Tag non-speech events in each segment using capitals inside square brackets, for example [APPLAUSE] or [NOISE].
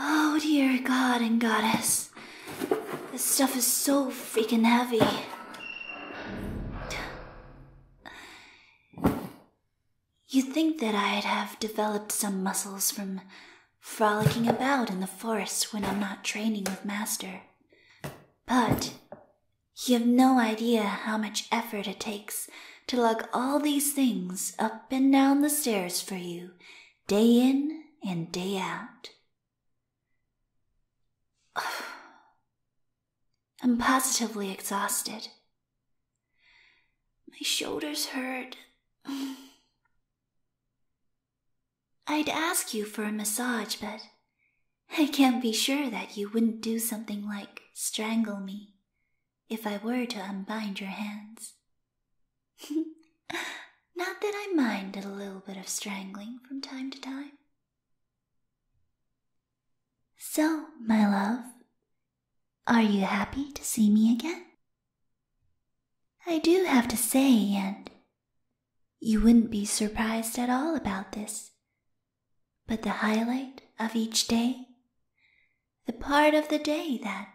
Oh dear god and goddess. This stuff is so freaking heavy you think that I'd have developed some muscles from frolicking about in the forest when I'm not training with Master. But you've no idea how much effort it takes to lug all these things up and down the stairs for you, day in and day out. [SIGHS] Oh, I'm positively exhausted. My shoulders hurt. [SIGHS] I'd ask you for a massage, but I can't be sure that you wouldn't do something like strangle me if I were to unbind your hands. [LAUGHS] Not that I mind a little bit of strangling from time to time. So, my love, are you happy to see me again? I do have to say, and you wouldn't be surprised at all about this, but the highlight of each day, the part of the day that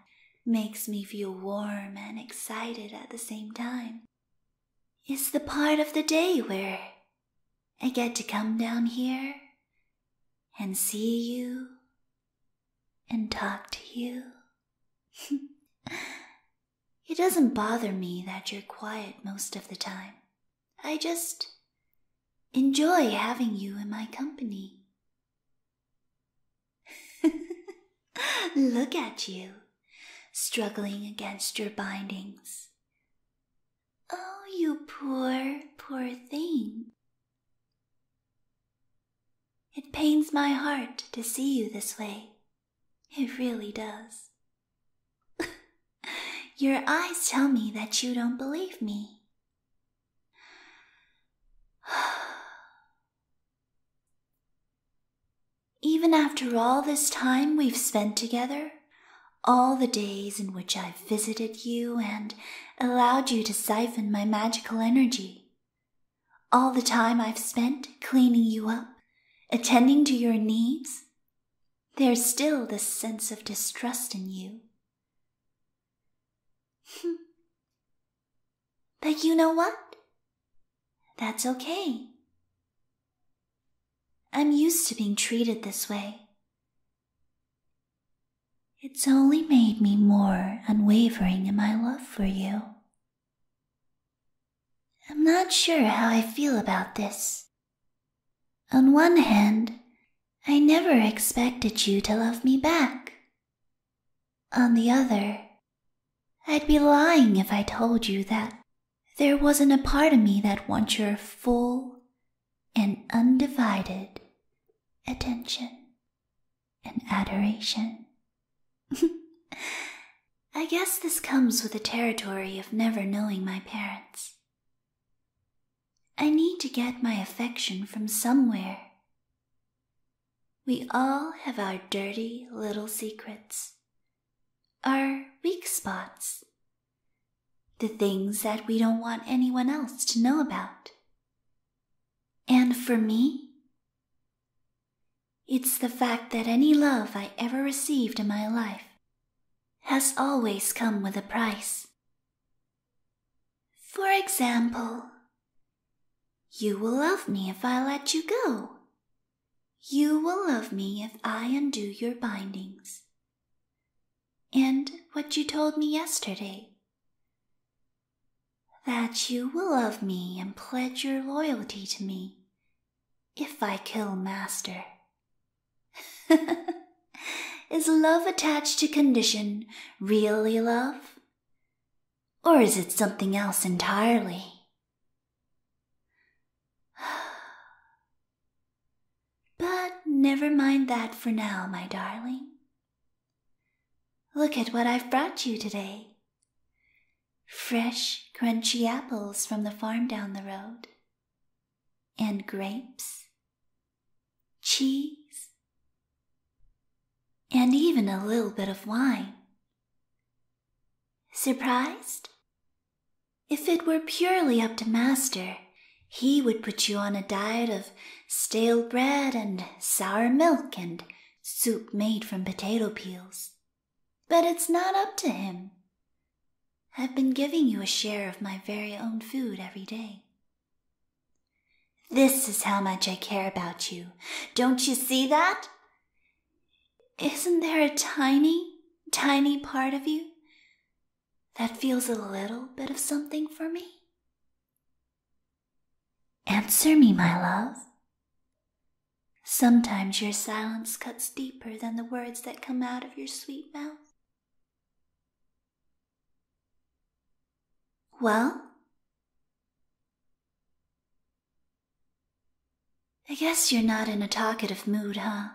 makes me feel warm and excited at the same time, is the part of the day where I get to come down here and see you and talk to you. [LAUGHS] it doesn't bother me that you're quiet most of the time. I just enjoy having you in my company. [LAUGHS] Look at you, struggling against your bindings. Oh, you poor, poor thing. It pains my heart to see you this way. It really does. [LAUGHS] Your eyes tell me that you don't believe me. [SIGHS] [SIGHS] Even after all this time we've spent together, all the days in which I've visited you and allowed you to siphon my magical energy, all the time I've spent cleaning you up, attending to your needs, there's still this sense of distrust in you. Hmm. but you know what? That's okay. I'm used to being treated this way. It's only made me more unwavering in my love for you. I'm not sure how I feel about this. On one hand, I never expected you to love me back. On the other, I'd be lying if I told you that there wasn't a part of me that wants your full and undivided attention and adoration. [LAUGHS] I guess this comes with the territory of never knowing my parents. I need to get my affection from somewhere. We all have our dirty little secrets our weak spots. The things that we don't want anyone else to know about. And for me, it's the fact that any love I ever received in my life has always come with a price. For example, you will love me if I let you go, you will love me if I undo your bindings. And what you told me yesterday. That you will love me and pledge your loyalty to me if I kill Master. [LAUGHS] is love attached to condition really love? Or is it something else entirely? [SIGHS] but never mind that for now, my darling. Look at what I've brought you today fresh, crunchy apples from the farm down the road, and grapes, cheese, and even a little bit of wine. Surprised? If it were purely up to Master, he would put you on a diet of stale bread and sour milk and soup made from potato peels. But it's not up to him. I've been giving you a share of my very own food every day. This is how much I care about you. Don't you see that? Isn't there a tiny, tiny part of you that feels a little bit of something for me? Answer me, my love. Sometimes your silence cuts deeper than the words that come out of your sweet mouth. Well? I guess you're not in a talkative mood, huh?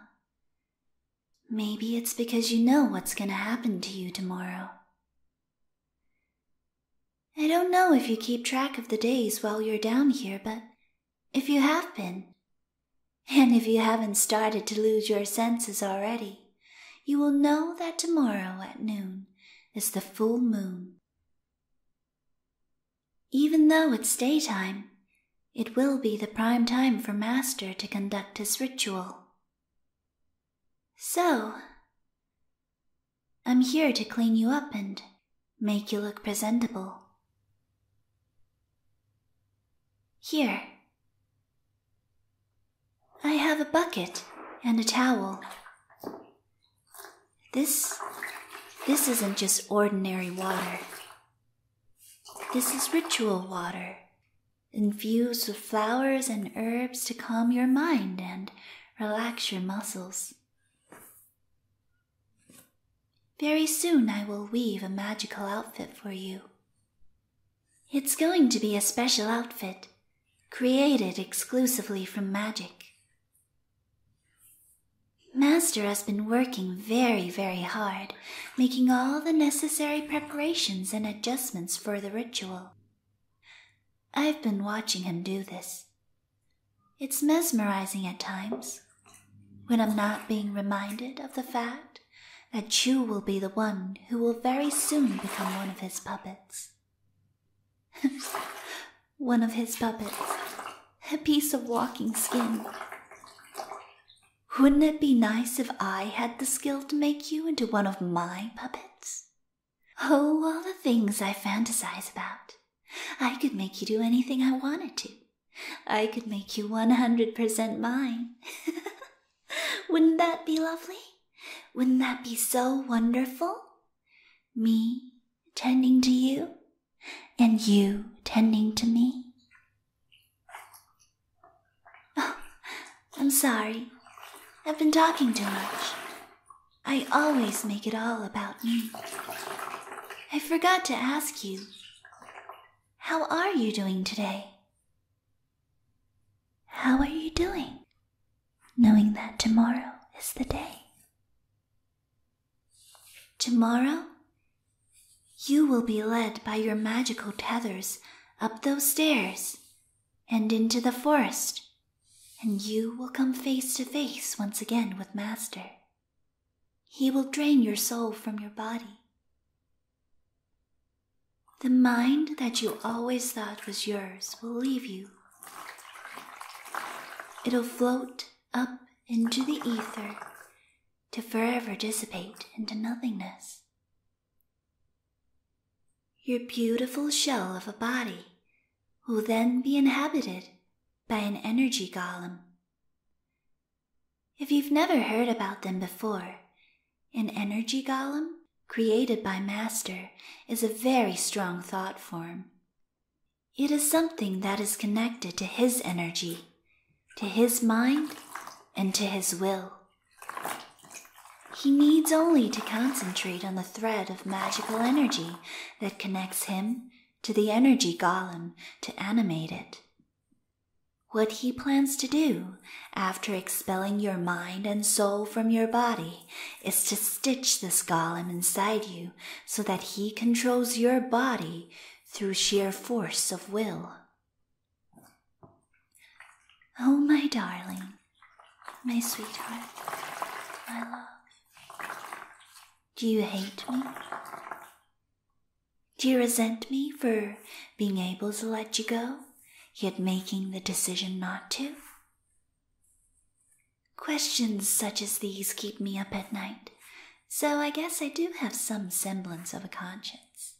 Maybe it's because you know what's going to happen to you tomorrow. I don't know if you keep track of the days while you're down here, but if you have been, and if you haven't started to lose your senses already, you will know that tomorrow at noon is the full moon. Even though it's daytime, it will be the prime time for Master to conduct his ritual. So, I'm here to clean you up and make you look presentable. Here. I have a bucket and a towel. This, this isn't just ordinary water. This is ritual water, infused with flowers and herbs to calm your mind and relax your muscles. Very soon I will weave a magical outfit for you. It's going to be a special outfit, created exclusively from magic. Master has been working very, very hard, making all the necessary preparations and adjustments for the ritual. I've been watching him do this. It's mesmerizing at times, when I'm not being reminded of the fact that you will be the one who will very soon become one of his puppets. [LAUGHS] One of his puppets. A piece of walking skin. Wouldn't it be nice if I had the skill to make you into one of my puppets? Oh, all the things I fantasize about. I could make you do anything I wanted to. I could make you 100% mine. [LAUGHS] Wouldn't that be lovely? Wouldn't that be so wonderful? me attending to you, and you tending to me. Oh, I'm sorry. I've been talking too much. I always make it all about me. I forgot to ask you. How are you doing today? How are you doing? knowing that tomorrow is the day. Tomorrow, you will be led by your magical tethers up those stairs and into the forest, and you will come face to face once again with Master. He will drain your soul from your body. The mind that you always thought was yours will leave you It'll float up into the ether to forever dissipate into nothingness. Your beautiful shell of a body will then be inhabited by an energy golem. If you've never heard about them before, an energy golem created by Master, is a very strong thought form. It is something that is connected to his energy, to his mind, and to his will. He needs only to concentrate on the thread of magical energy that connects him to the energy golem to animate it. What he plans to do after expelling your mind and soul from your body is to stitch this golem inside you so that he controls your body through sheer force of will. Oh, my darling, my sweetheart, my love, do you hate me? Do you resent me for being able to let you go, yet making the decision not to? Questions such as these keep me up at night, so I guess I do have some semblance of a conscience.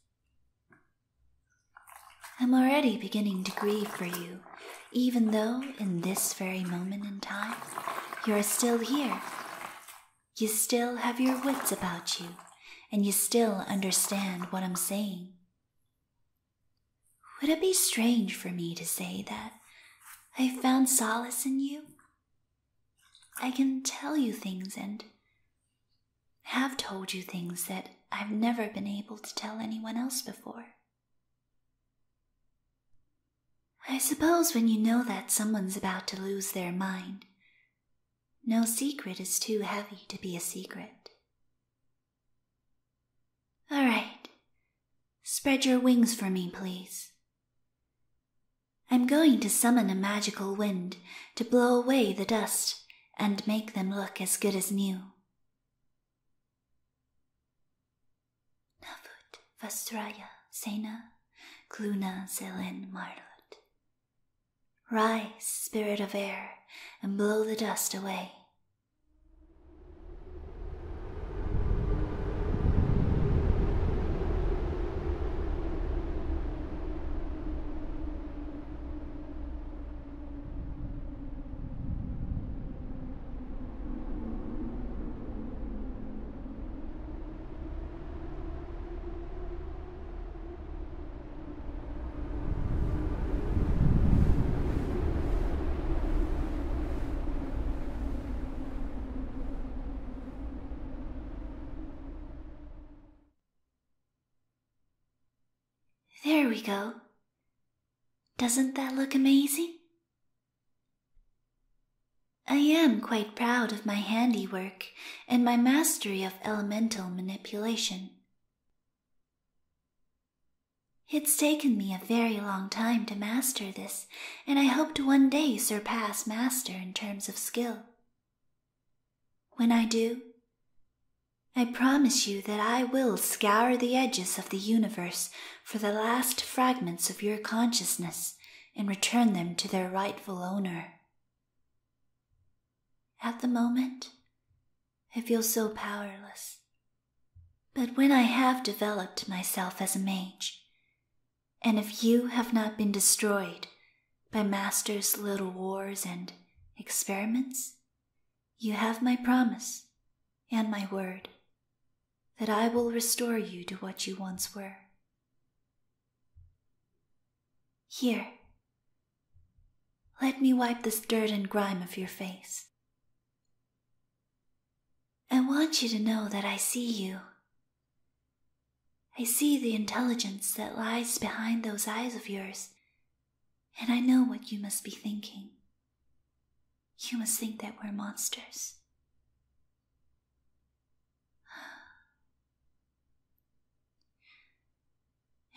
I'm already beginning to grieve for you, even though in this very moment in time you are still here. You still have your wits about you, and you still understand what I'm saying. Would it be strange for me to say that I have found solace in you? I can tell you things and have told you things that I've never been able to tell anyone else before. I suppose when you know that someone's about to lose their mind, no secret is too heavy to be a secret. All right. Spread your wings for me, please. I'm going to summon a magical wind to blow away the dust and make them look as good as new. Navut Vastraya Sena Kluna Selen marlot. Rise, spirit of air, and blow the dust away. There we go. Doesn't that look amazing? I am quite proud of my handiwork and my mastery of elemental manipulation. It's taken me a very long time to master this, and I hope to one day surpass Master in terms of skill. When I do, I promise you that I will scour the edges of the universe for the last fragments of your consciousness and return them to their rightful owner. At the moment, I feel so powerless. But when I have developed myself as a mage, and if you have not been destroyed by Master's little wars and experiments, you have my promise and my word that I will restore you to what you once were. Here, let me wipe this dirt and grime of your face. I want you to know that I see you. I see the intelligence that lies behind those eyes of yours, and I know what you must be thinking. You must think that we're monsters.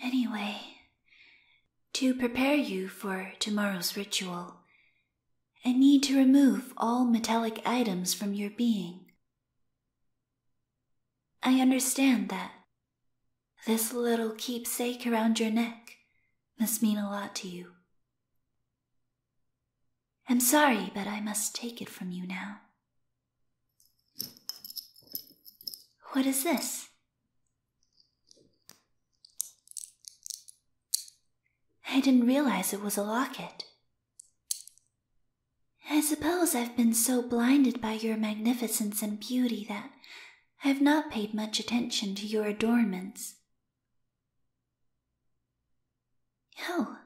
Anyway, to prepare you for tomorrow's ritual, I need to remove all metallic items from your being. I understand that. This little keepsake around your neck must mean a lot to you. I'm sorry, but I must take it from you now. What is this? I didn't realize it was a locket. I suppose I've been so blinded by your magnificence and beauty that I've not paid much attention to your adornments. Oh,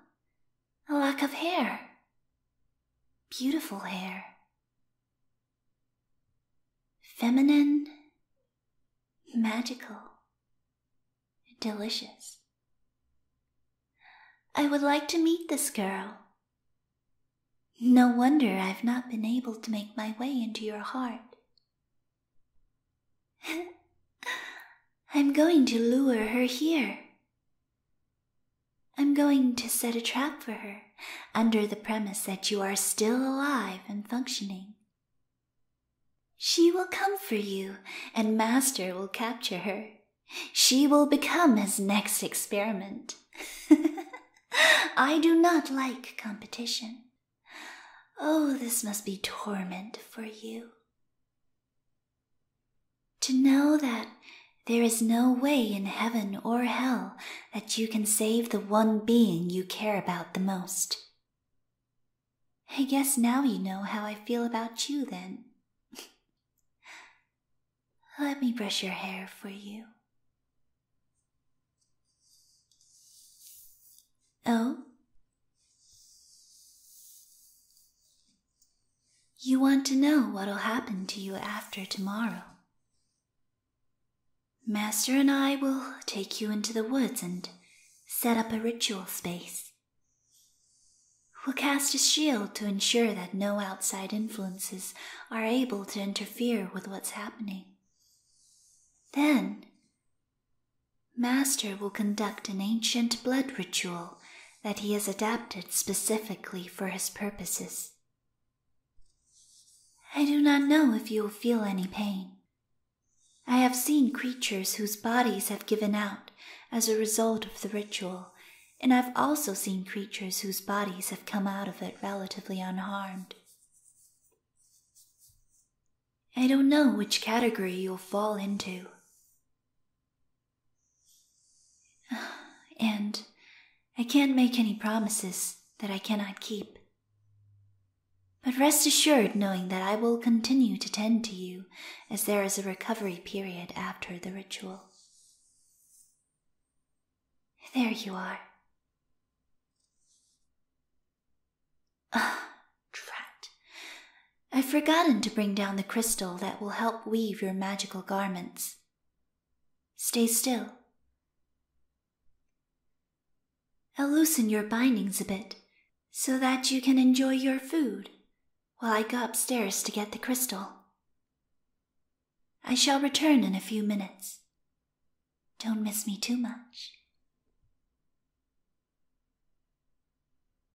a lack of hair. Beautiful hair. Feminine. Magical. Delicious. I would like to meet this girl. No wonder I've not been able to make my way into your heart. [LAUGHS] I'm going to lure her here I'm going to set a trap for her under the premise that you are still alive and functioning. She will come for you, and Master will capture her. She will become his next experiment. [LAUGHS] I do not like competition. Oh, this must be torment for you. To know that there is no way in heaven or hell that you can save the one being you care about the most. I guess now you know how I feel about you, then. [LAUGHS] Let me brush your hair for you. Oh? You want to know what'll happen to you after tomorrow. Master and I will take you into the woods and set up a ritual space. We'll cast a shield to ensure that no outside influences are able to interfere with what's happening. Then, Master will conduct an ancient blood ritual that he has adapted specifically for his purposes. I do not know if you will feel any pain. I have seen creatures whose bodies have given out as a result of the ritual, and I've also seen creatures whose bodies have come out of it relatively unharmed. I don't know which category you'll fall into. And I can't make any promises that I cannot keep. But rest assured knowing that I will continue to tend to you as there is a recovery period after the ritual. There you are. Ah, drat. I've forgotten to bring down the crystal that will help weave your magical garments. Stay still. I'll loosen your bindings a bit so that you can enjoy your food while I go upstairs to get the crystal. I shall return in a few minutes. Don't miss me too much.